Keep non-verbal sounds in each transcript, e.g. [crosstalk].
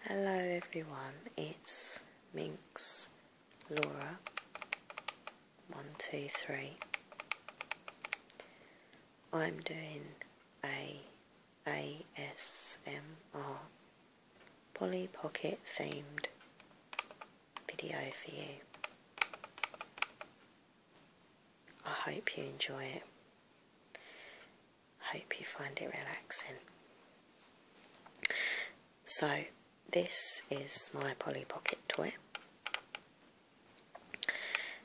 Hello everyone, it's Minks Laura 123. I'm doing a ASMR Polly Pocket themed video for you. I hope you enjoy it. I hope you find it relaxing. So, this is my Polly Pocket toy.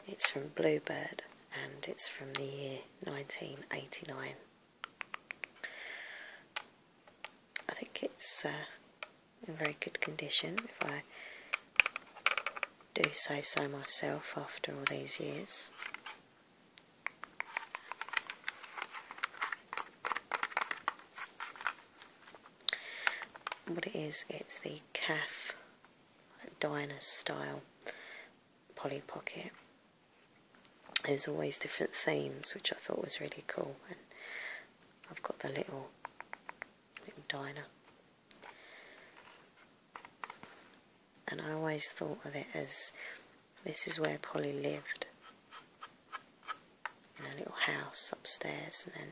It's from Bluebird and it's from the year 1989. I think it's uh, in very good condition if I do say so myself after all these years. What it is, it's the calf diner style Polly Pocket. There's always different themes, which I thought was really cool. And I've got the little little diner and I always thought of it as this is where Polly lived in a little house upstairs, and then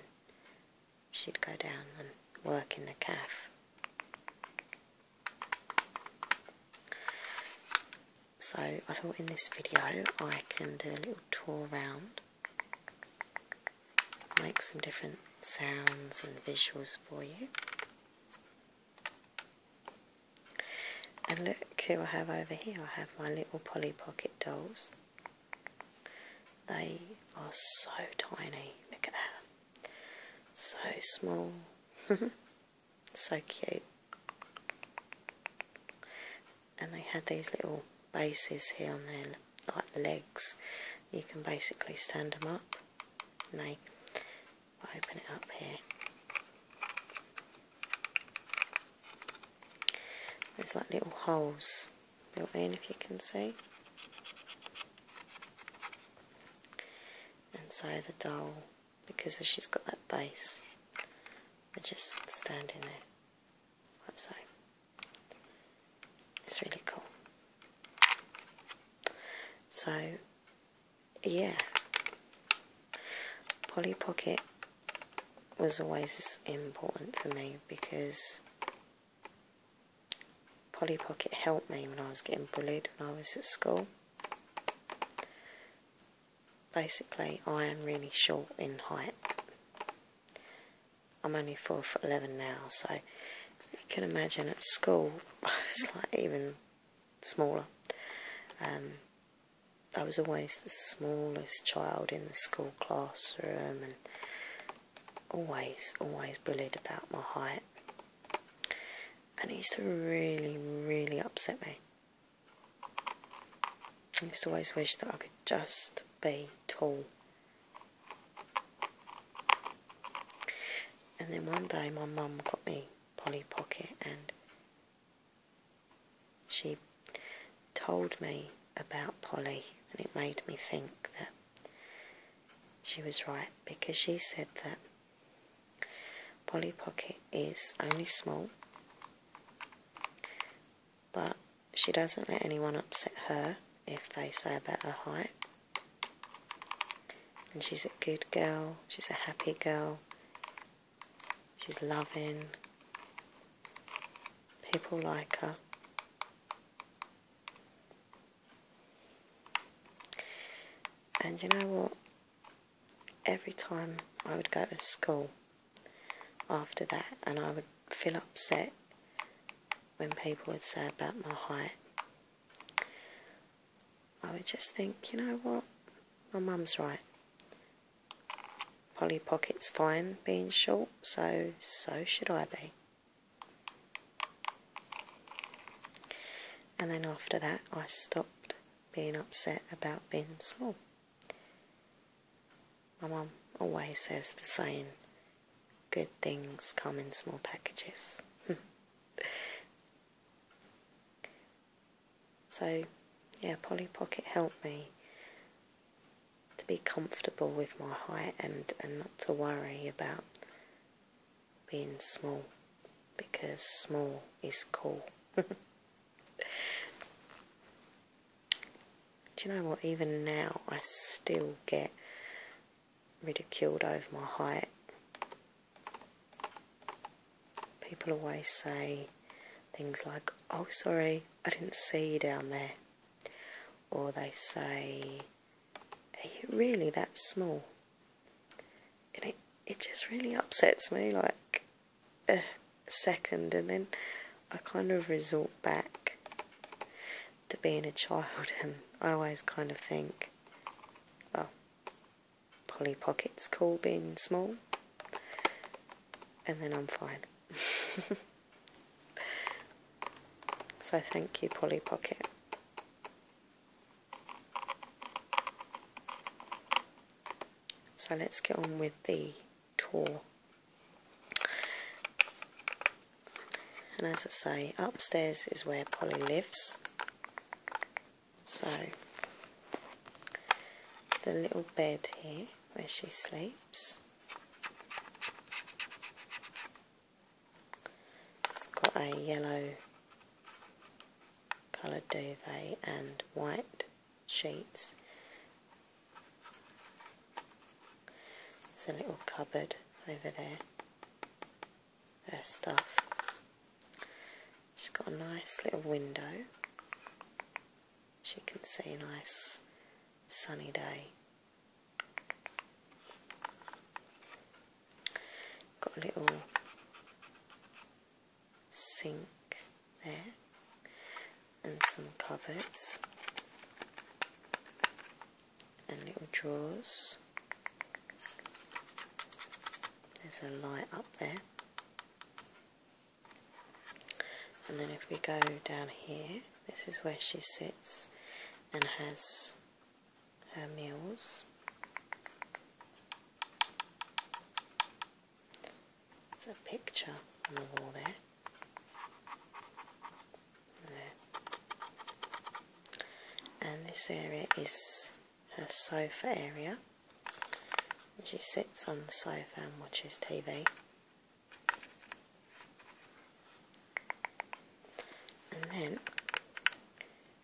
she'd go down and work in the calf. So I thought in this video I can do a little tour around make some different sounds and visuals for you. And look who I have over here. I have my little Polly Pocket dolls. They are so tiny. Look at that. So small. [laughs] so cute. And they had these little bases here and there like the legs you can basically stand them up and they open it up here there's like little holes built in if you can see and so the doll because she's got that base they just standing there so it's really cool. So, yeah, Polly Pocket was always important to me because Polly Pocket helped me when I was getting bullied when I was at school. Basically, I am really short in height, I'm only four foot eleven now, so you can imagine at school [laughs] I was like even smaller. Um, I was always the smallest child in the school classroom and always, always bullied about my height. And it used to really, really upset me. I used to always wish that I could just be tall and then one day my mum got me Polly Pocket and she told me about Polly and it made me think that she was right because she said that Polly Pocket is only small but she doesn't let anyone upset her if they say about her height. And she's a good girl, she's a happy girl, she's loving, people like her. And you know what? Every time I would go to school after that, and I would feel upset when people would say about my height. I would just think, you know what, my mum's right. Polly Pocket's fine being short, so so should I be. And then after that, I stopped being upset about being small. My mum always says the same: good things come in small packages. [laughs] so, yeah, Polly Pocket helped me to be comfortable with my height and, and not to worry about being small because small is cool. [laughs] Do you know what? Even now, I still get ridiculed over my height. People always say things like, Oh, sorry, I didn't see you down there. Or they say, Are you really that small? And it, it just really upsets me like a second, and then I kind of resort back to being a child, and I always kind of think, well, Polly Pocket's cool being small, and then I'm fine. [laughs] so thank you, Polly Pocket. So let's get on with the and as I say, upstairs is where Polly lives. So, the little bed here where she sleeps. It's got a yellow coloured duvet and white sheets there's a little cupboard over there. Her stuff. She's got a nice little window. She can see a nice sunny day. Got a little sink there and some cupboards and little drawers. There's a light up there. And then if we go down here, this is where she sits and has her meals. There's a picture on the wall there. there. And this area is her sofa area. She sits on the sofa and watches TV. And then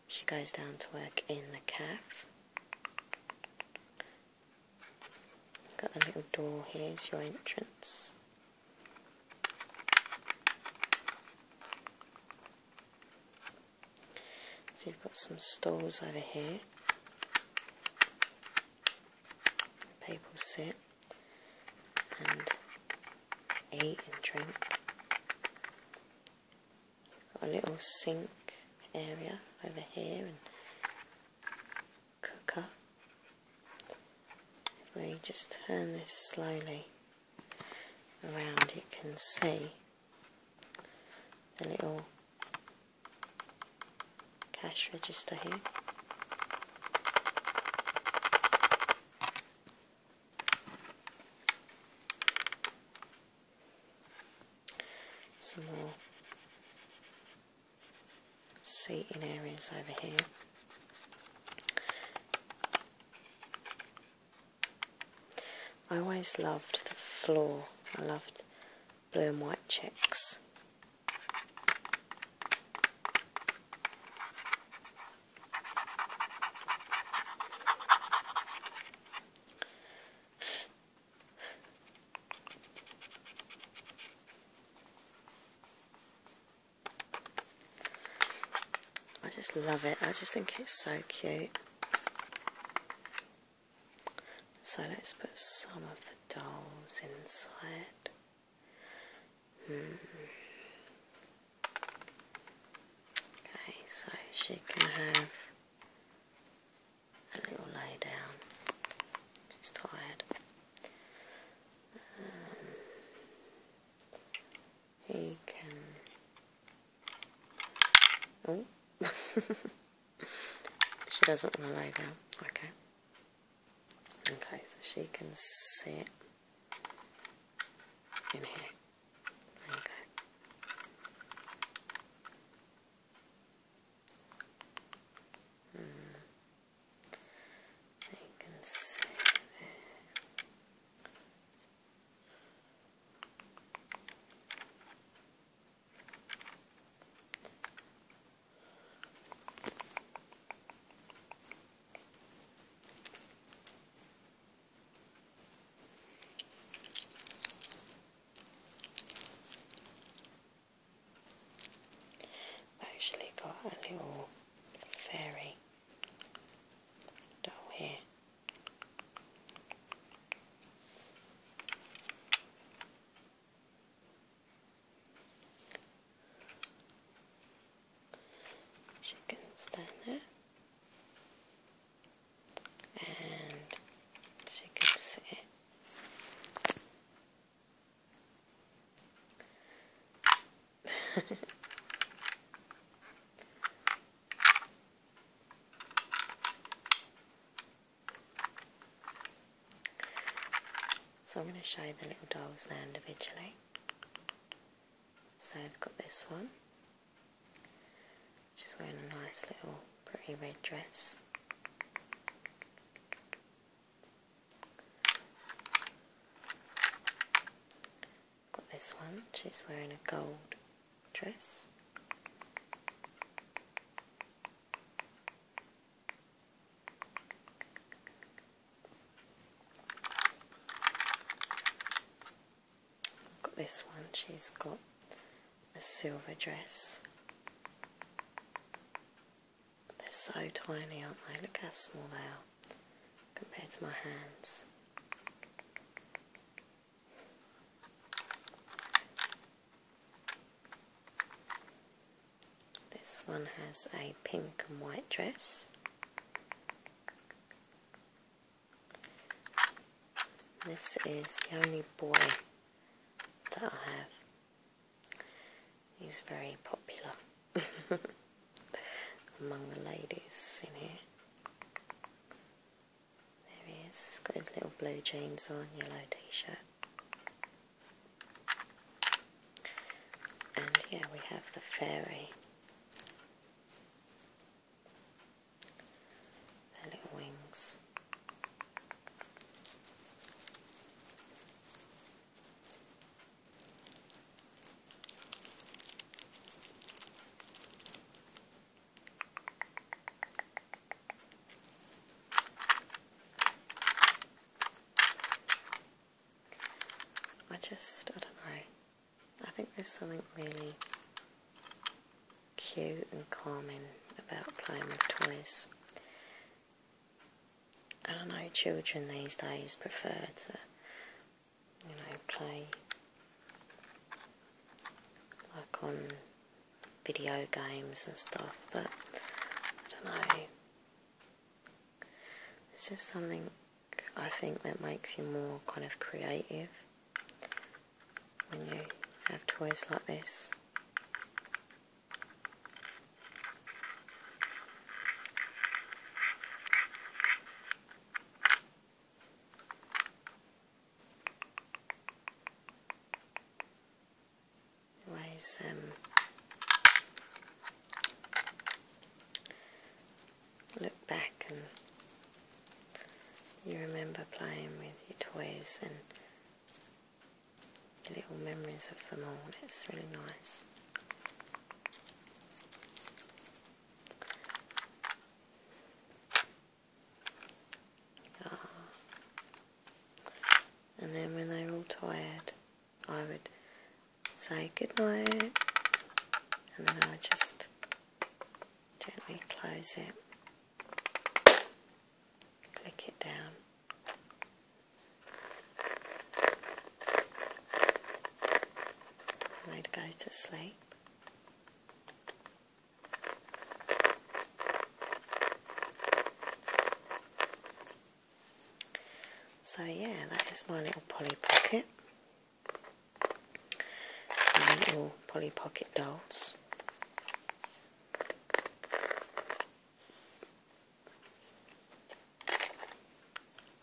she goes down to work in the calf. Got a little door here, is your entrance. So you've got some stalls over here. People sit and eat and drink. Got a little sink area over here and cooker. we just turn this slowly around, you can see the little cash register here. some more seating areas over here. I always loved the floor, I loved blue and white checks. I just love it. I just think it's so cute. So let's put some of the dolls inside. Hmm. Okay, so she can have and you lay down. She's tired. Um, he can. Oh, [laughs] she doesn't want to lay down. Okay. Okay, so she can sit in here. Okay. Mm. I can see I've actually got a little fairy doll here. She can stand there and she can sit [laughs] so I'm going to show you the little dolls now individually. So I've got this one, she's wearing a nice little pretty red dress. Got this one, she's wearing a gold dress. Got this one, she's got a silver dress. They're so tiny, aren't they? Look how small they are compared to my hands. This one has a pink and white dress. This is the only boy that I have. is very popular [laughs] among the ladies in here. There he is, got his little blue jeans on, yellow t shirt. And yeah, we have the fairy their little wings. I just, I don't know, I think there's something really cute and calming about playing with toys. I don't know, children these days prefer to, you know, play like on video games and stuff, but I don't know. It's just something I think that makes you more kind of creative when you have toys like this. Anyways, um, look back and you remember playing with your toys and the little memories of them all. It's really nice. Ah. And then when they are all tired, I would say goodnight, and then I would just gently close it click it down. And would go to sleep. So yeah, that is my little Polly Pocket. My little Polly Pocket dolls.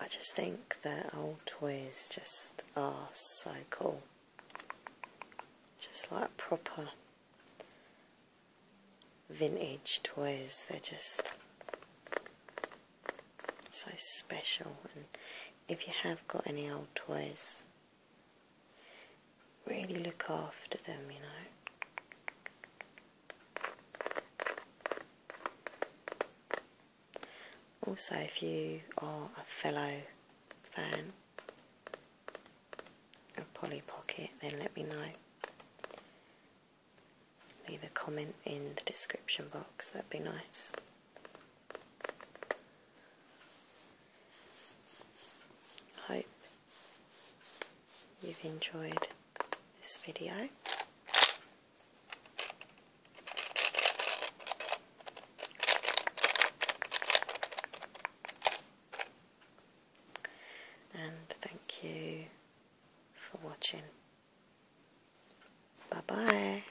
I just think that old toys just are so cool. Just like proper vintage toys, they're just so special. And if you have got any old toys, Really look after them, you know. Also, if you are a fellow fan of Polly Pocket, then let me know. Leave a comment in the description box, that'd be nice. Hope you've enjoyed this video. And thank you for watching. Bye bye.